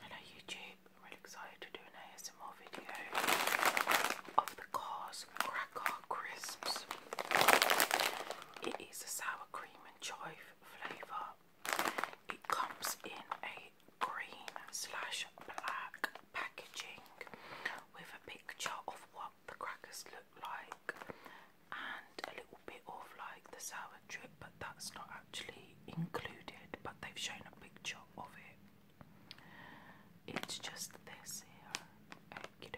Hello YouTube, I'm really excited to do an ASMR video of the Cars Cracker Crisps. It is a sour cream and chive flavour. It comes in a green slash black packaging with a picture of what the crackers look like and a little bit of like the sour trip, but that's not actually included. But they've shown a picture of it. It's just this here.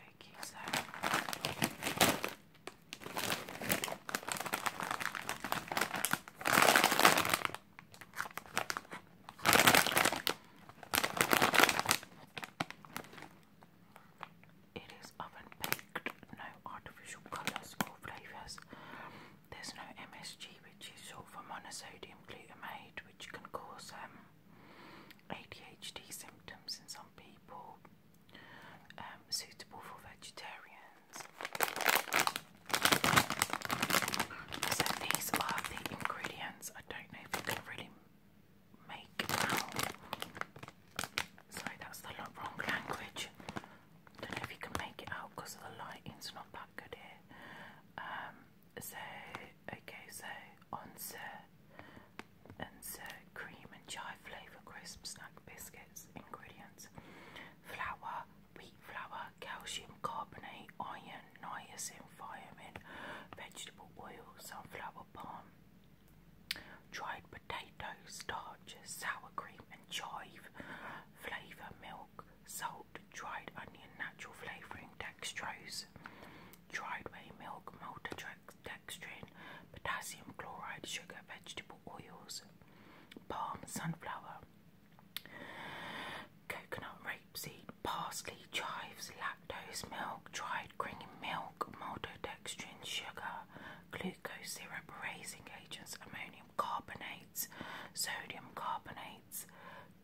it is oven baked, no artificial colours or flavours. There's no MSG, which is also for monosodium glutamate, which can cause um, ADHD symptoms in some people, um, suitable for vegetarians. So these are the ingredients. I don't know if you can really make out. that's the wrong language don't know if you can make it out because the lighting's not that good here. Um, so, okay, so Onse Onse cream and chai flavour crisp snack biscuits. Ingredients flour, wheat flour, calcium carbonate, iron, niacin, thiamine, vegetable oil, sunflower palm, dried potatoes, starch, sour cream and chive flavour, milk, salt, dried onion, natural flavouring, dextrose, dried whey milk, maltodextrin, potassium chloride, sugar, vegetable oils, palm, sunflower, coconut, rapeseed, parsley, chives, lactose, milk, dried cream milk, maltodextrin, sugar, glucose syrup, raising agents, ammonium carbonate, sodium carbonates,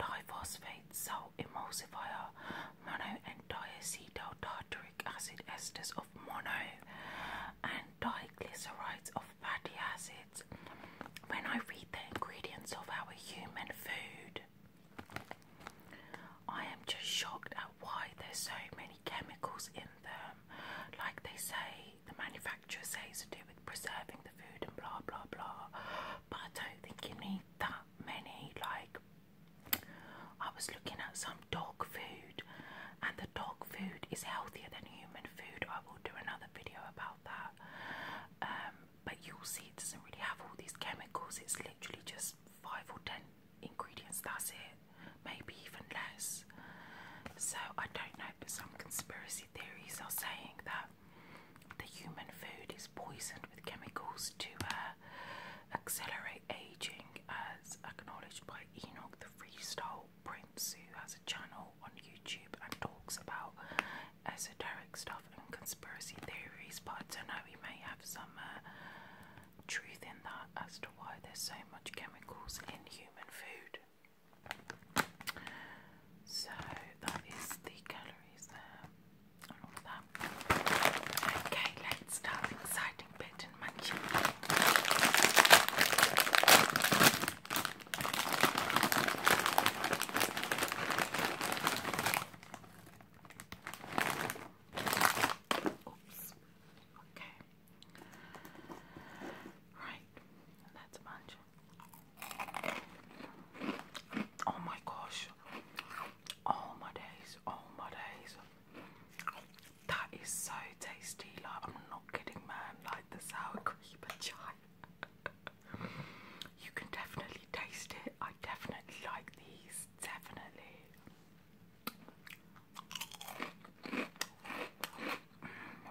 diphosphates, salt emulsifier, mono and diacetyl tartaric acid esters of mono and diglycerides of fatty acids. When I read the ingredients of our human food, I am just shocked at why there's so many chemicals in them. Like they say, the manufacturer says to do with preserving the food and blah blah blah. But I don't think you need that many. Like, I was looking at some dog food, and the dog food is healthier than human food. I will do another video about that. Um, but you'll see it doesn't really have all these chemicals, it's literally just five or ten ingredients, that's it, maybe even less. So I don't know, but some conspiracy theories are saying that the human food is poisoned with chemicals to uh, accelerate aging, as acknowledged by Enoch the Freestyle Prince, who has a channel on YouTube and talks about esoteric stuff and conspiracy theories. But I don't know, we may have some uh, truth in that as to why there's so much chemicals in human food. So that is the calories there Okay, let's start exciting bit in Okay. Right, that's a bunch. Oh my gosh. Oh my days, oh my days. That is so tasty. Like, I'm not kidding, man. Like the sour cream but chive. you can definitely taste it. I definitely like these. Definitely.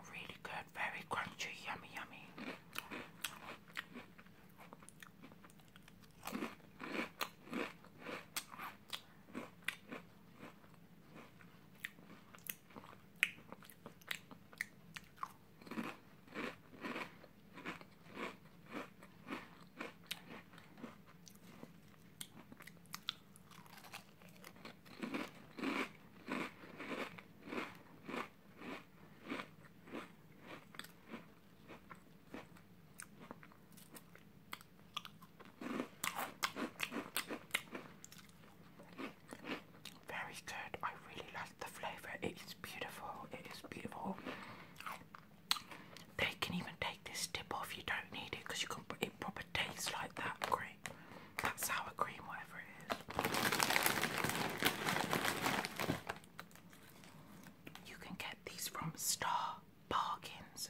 Really good, very crunchy, yummy, yummy. Very good. I really like the flavour. It is beautiful. It is beautiful. They can even take this dip off. You don't need it because you can put proper tastes like that cream, that sour cream, whatever it is. You can get these from Star Bargains.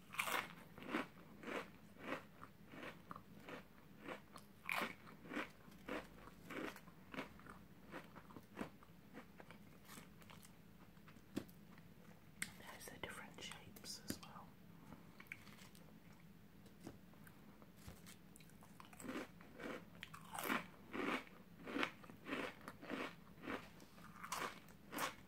There's the different shapes as well.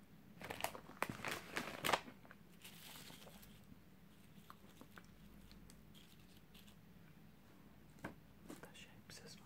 The shapes as well.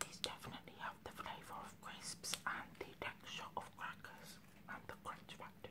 These definitely have the flavour of crisps and the texture of crackers and the crunch factor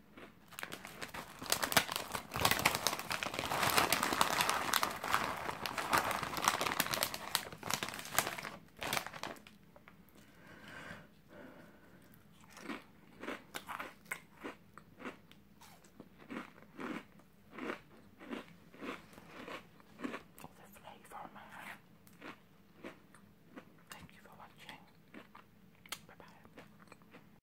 All the flavour, man. Thank you for watching. Bye bye.